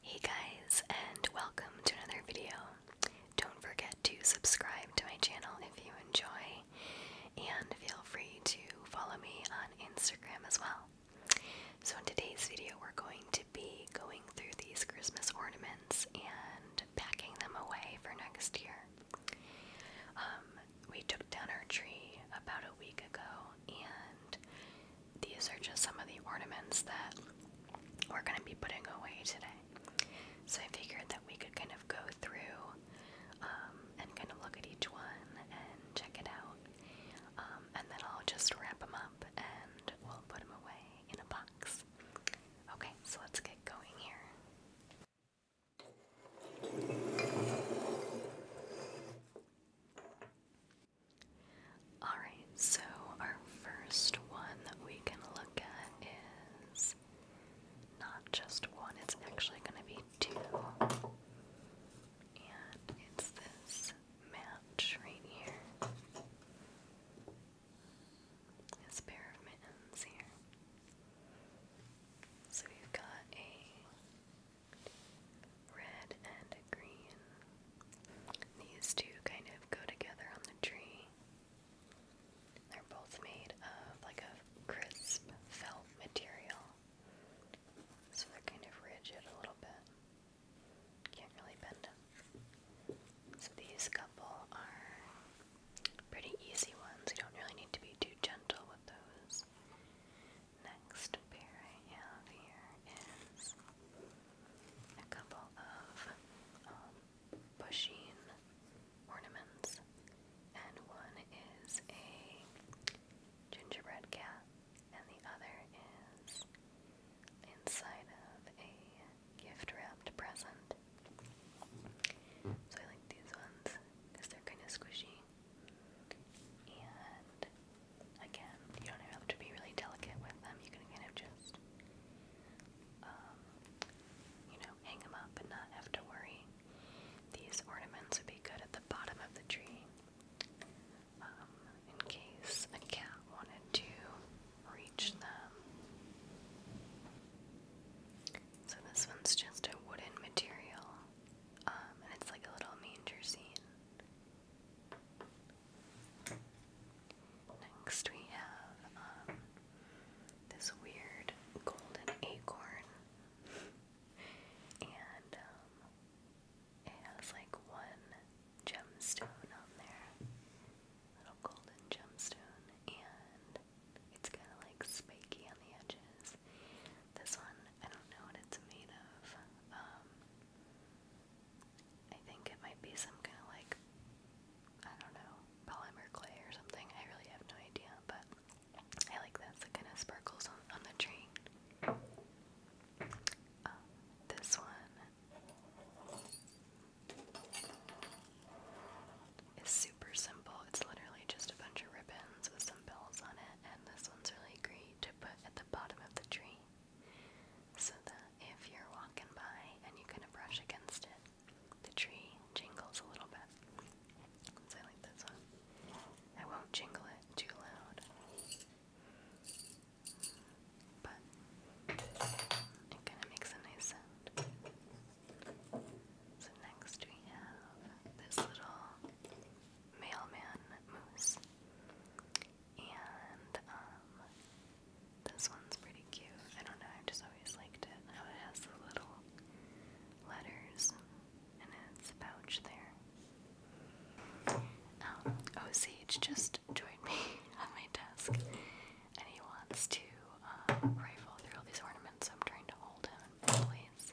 Hey guys, and welcome to another video. Don't forget to subscribe to my channel if you enjoy, and feel free to follow me on Instagram as well. So, in today's video, we're going to be going through these Christmas ornaments and packing them away for next year. Um, we took down our tree about a week ago, and these are just some of the ornaments that we're going to be putting away today. So I figured that we could kind of go through um, and kind of look at each one and check it out. Um, and then I'll just wrap them up and we'll put them away in a box. Okay, so let's get going here. Alright, so our first one that we can look at is not just one, it's actually going to be two. And it's this match right here a pair of mittens here. So we've got a red and a green. These two kind of go together on the tree. They're both made of like a crisp felt material. So they're kind of rigid a little bit. Can't really bend them. So these couple are pretty easy ones. You don't really need to be too gentle with those. Next pair I have here is a couple of um, pushing ornaments, and one is a gingerbread cat, and the other is inside of a gift wrapped present. So I like these ones because they're kind of squishy. And again, you don't have to be really delicate with them. You can kind of just, um, you know, hang them up and not have to worry. These ornaments would be good at the bottom of the tree um, in case a cat wanted to reach them. So this one's just a wooden material, um, and it's like a little manger scene. Next we have um, this weird golden acorn, and um, it has like one gemstone on there little golden gemstone, and it's kind of like spiky on the edges. This one, I don't know what it's made of. Um, I think it might be some kind of like, I don't know, polymer clay or something. I really have no idea, but I like this. It kind of sparkles on, the tree. Um, this one it's super simple. It's literally just a bunch of ribbons with some bells on it, and this one's really great to put at the bottom of the tree so that if you're walking by and you kind of brush against it, the tree jingles a little bit. So I like this one. I won't jingle it too loud but it kind of makes a nice sound. So next we have this little mailman moose, and um, this one's pretty cute. I don't know, I just always liked it how it has the little letters in its pouch there um, oh, just joined me on my desk, and he wants to uh, rifle through all these ornaments, so I'm trying to hold him in place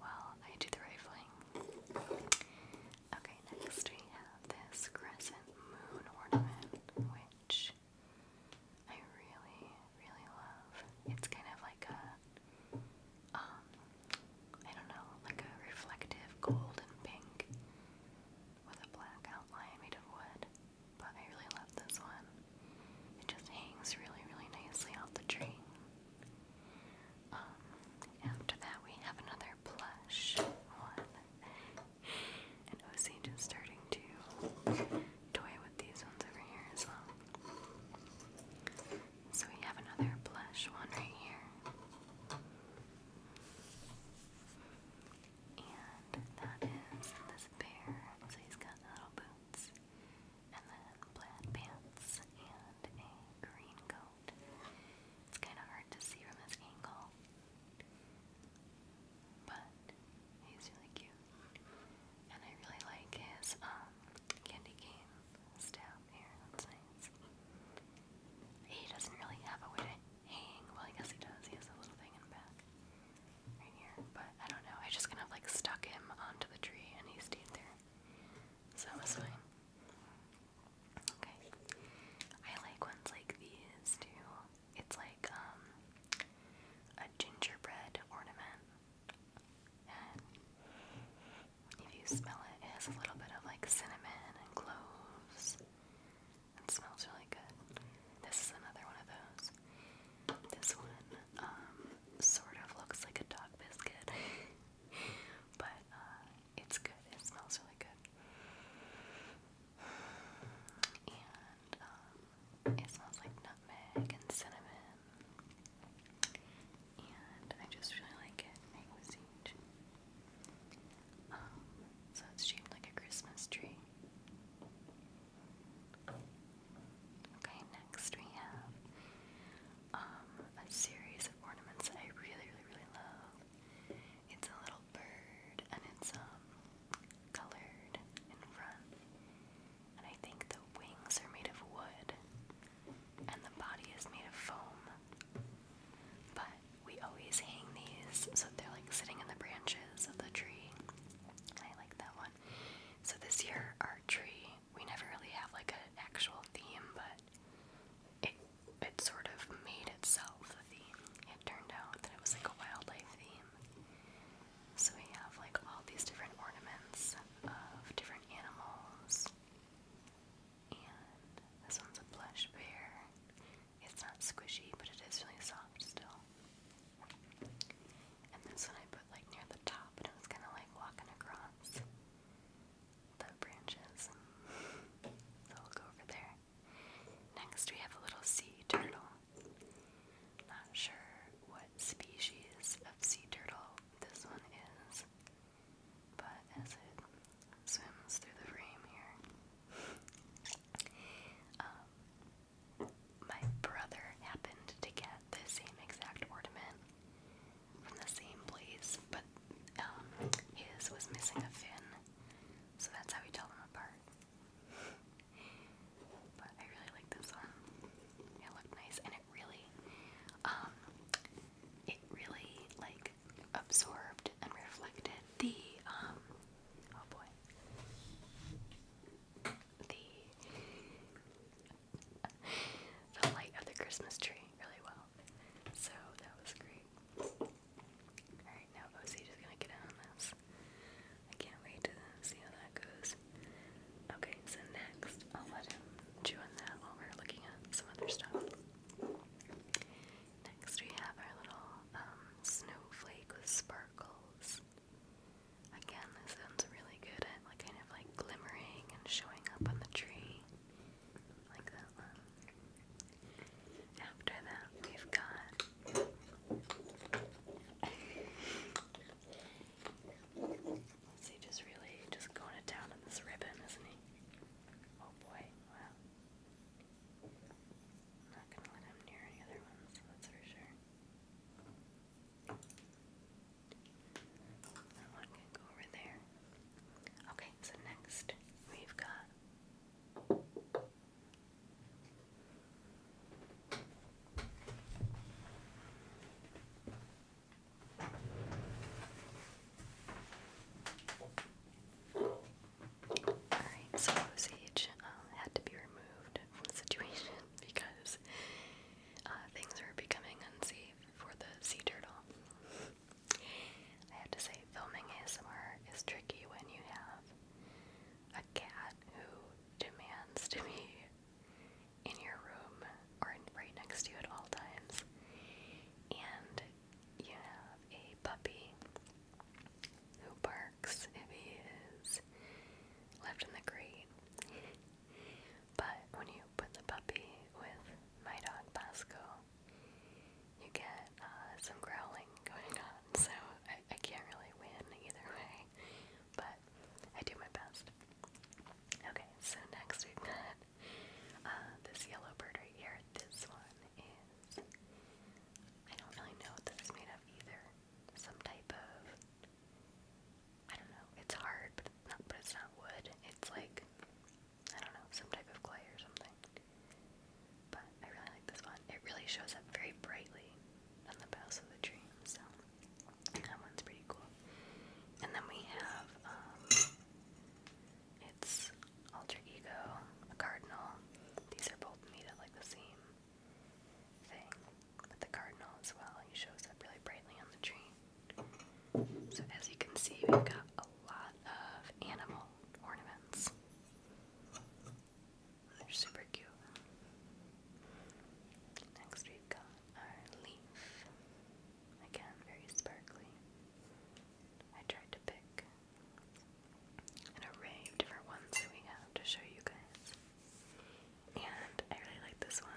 while I do the rifling. Okay, next we have this crescent moon ornament, which I really, really love. It's kind of like a, um, don't know, like a reflective gold and pink with a black outline made of wood, but I really love this one. It just hangs really, really nicely off the tree. Um, after that, we have another plush one. And OC just starting to toy with these ones over here as well. So we have another plush one right here. And that is this bear. So he's got little boots, and then plaid pants, and a green coat. It's kind of hard to see from this angle, but he's really cute. And I really like his um, candy cane staff. He doesn't really have a way to hang. Well, I guess he does. He has a little thing in the back right here. But I don't know. I just kind of like stuck him onto the tree and he stayed there. So that was fine. Okay. I like ones like these too. It's like um, a gingerbread ornament. And if you smell it, it has a little bit of like cinnamon and cloves. It smells really good. This is another one of those. This one um, sort of looks like a dog biscuit, but uh, it's good. It smells really good. And um, it smells like nutmeg and cinnamon. And I just really like it. I was each. Oh, so it's shaped like a Christmas tree. Okay, next we have um, a series of ornaments that I really, really, really love. It's a little bird, and it's um, colored in front, and I think the wings are made of wood and the body is made of foam. But we always hang these so they're like sitting in the branches of the tree. I like that one. So this year our tree, we never really have like an actual theme, but it it sort of made itself a theme. It turned out that it was like a wildlife theme. So we have like all these different ornaments of different animals. And this one's a blush bear. It's not squishy, but it is really soft still. And this one I put like near the top, and it was kind of like walking across the branches. So will go over there. Next, we have a little sea turtle. Not sure what species of sea turtle this one is. But as it swims through the frame here, um, my brother happened to get the same exact ornament from the same place, but um, his was missing a fin, so that's how we tell them apart. But I really like this one. It looked nice, and it really, um, it really like absorbed and reflected the um oh boy the the light of the Christmas tree really well. So that was great. Alright, now OC is gonna get in on this. I can't wait to see how that goes. Okay, so next I'll let him chew on that while we're looking at some other stuff. Next, we have our little um, snowflake with sparkles. Again, this sounds really good at like kind of like glimmering and showing up on the tree, like that one. After that, we've got. He just really just going to town on this ribbon, isn't he? Oh boy, not gonna let him near any other ones, that's for sure. That one can go over there. Okay, so next we've got Alright, um, had to be removed from the situation because uh, things were becoming unsafe for the sea turtle. I have to say, filming is more is tricky when you have a cat who demands to be in your room or right next to you at all times, and you have a puppy who barks if he is left in the crate. but when you put the puppy with my dog Pasco, you get uh, some growling going on, so I, I can't really win either way, but I do my best. Okay, so next we've got uh, this yellow bird right here, this one is, I don't really know what this is made of either. Some type of, I don't know, it's hard, but it's not, wood. It's like, I don't know, some type of clay or something. But I really like this one. It really shows up very brightly on the boughs of the tree, so. That one's pretty cool. And then we have um, it's alter ego, a cardinal. These are both made of like the same thing, but the cardinal as well. He shows up really brightly on the tree. So as you can see, we've got a lot of animal ornaments. They're super cute. Next, we've got our leaf. Again, very sparkly. I tried to pick an array of different ones that we have to show you guys. And I really like this one.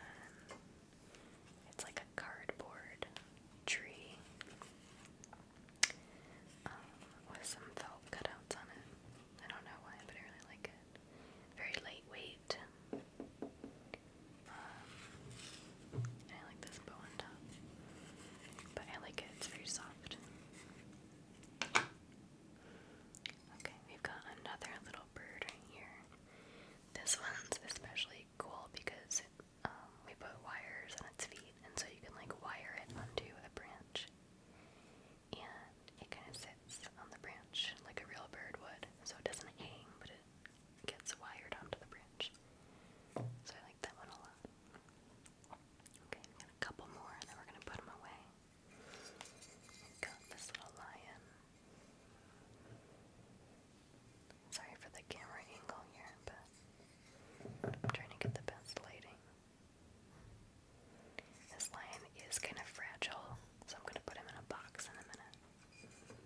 It's like a cardboard tree um, with some felt cutouts on it. I don't know why, but I really like it. Very lightweight. I like this bow on top, but I like it. It's very soft. Okay, we've got another little bird right here. This one's especially cool because um, we put wires on its feet, and so you can like wire it onto a branch, and it kind of sits on the branch like a real bird would. So it doesn't hang, but it gets wired onto the bridge. So I like that one a lot. Okay, got a couple more and then we're gonna put them away. Got this little lion. Sorry for the camera angle here, I'm trying to get the best lighting. This lion is kind of fragile, so I'm gonna put him in a box in a minute. And then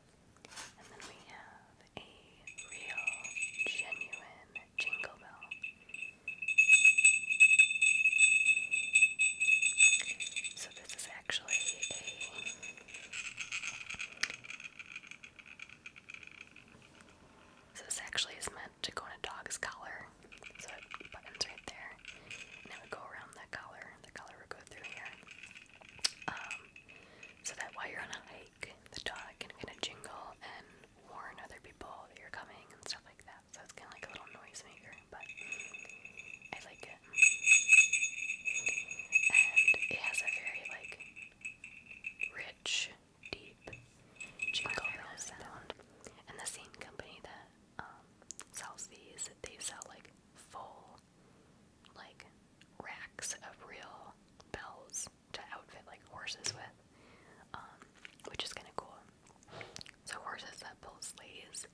we have a real, genuine jingle bell. So this is actually a so this actually is meant to go on a dog's collar. So it buttons right there. And it would go around that collar. The collar would go through here um, so that while you're on a hike, the dog can kind of jingle and warn other people that you're coming and stuff like that. So it's kind of like a little noisemaker, but I like it. And it has a very like rich, deep jingle bell sound. And the same company that um, sells these, they sell like full like racks of real bells to outfit like horses with, um, which is kind of cool. So horses that pull sleighs,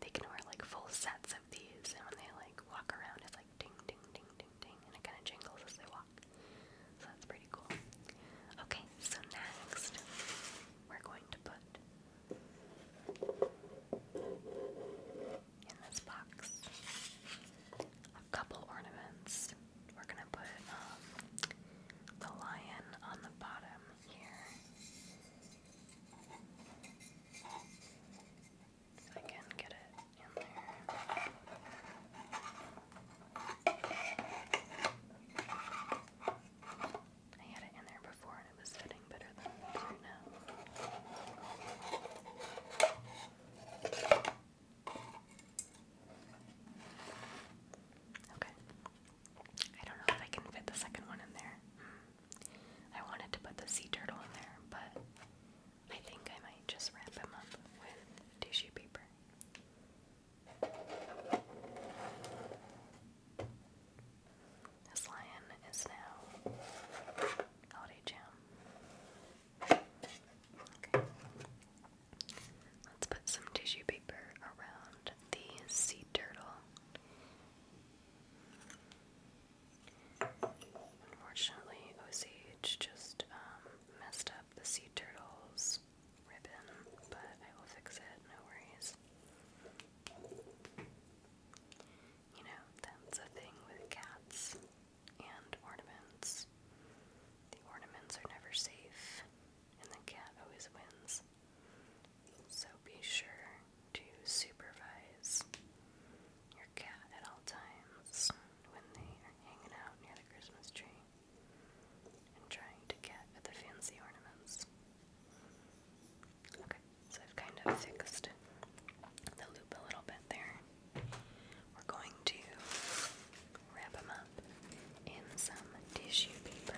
they can wear like full sets of these, and when they like walk around, it's like ding, ding, ding, ding, ding, and it kind of jingles as they walk. So that's pretty cool. Okay, so next we're going to put in this box. A couple ornaments. We're gonna put um, the lion on the bottom here. I can get it in there. I had it in there before and it was fitting better than it is right now. Okay. I don't know if I can fit the second one in there. Hmm. I wanted to put the sea turtle in there, but I think I might just wrap him up with tissue paper. This lion is now holiday jam. Okay. Let's put some tissue paper around the sea turtle. Unfortunately, OCH just um, messed up the sea turtle's ribbon, but I will fix it, no worries. You know, that's a thing with cats and ornaments. The ornaments are never safe, and the cat always wins. So be sure to supervise your cat at all times when they are hanging out near the Christmas tree and trying to get at the fancy ornaments. Okay. So I've kind of fixed the loop a little bit there. We're going to wrap them up in some tissue paper.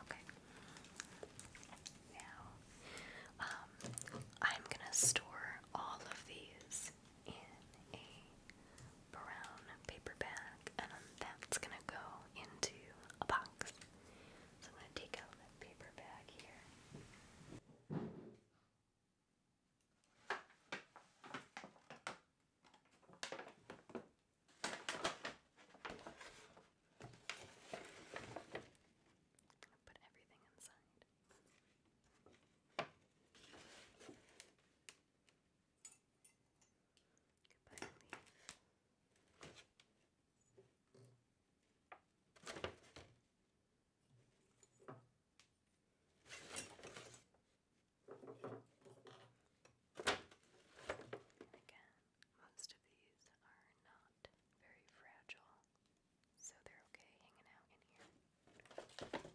Okay. Now, um, I'm gonna store all of these in a brown paper bag, and um, that's gonna go into a box. So I'm gonna take out that paper bag here. Put everything inside. Goodbye, leaf. Again, most of these are not very fragile, so they're okay hanging out in here.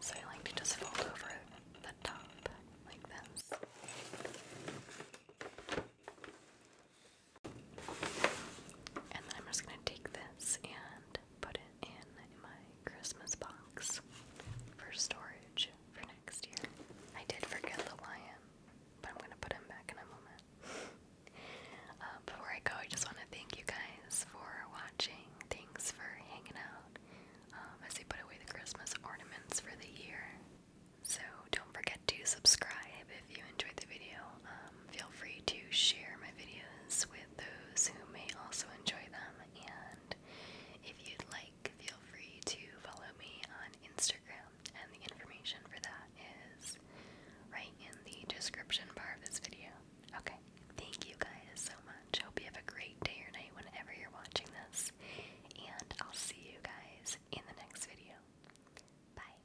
So I like to just fold over the top like this. And then I'm just going to take this and put it in my Christmas box for storage for next year. I did forget the lion, but I'm gonna put him back in a moment. Uh, before I go, I just want to thank you guys for watching. Thanks for hanging out um, as we put away the Christmas ornaments for the year. So don't forget to subscribe if you enjoyed the video. Um, feel free to share my videos with those who may also enjoy them. And if you'd like feel free to follow me on Instagram, and the information for that is right in the description bar of this video. Okay, thank you guys so much. Hope you have a great day or night whenever you're watching this, and I'll see you guys in the next video. Bye.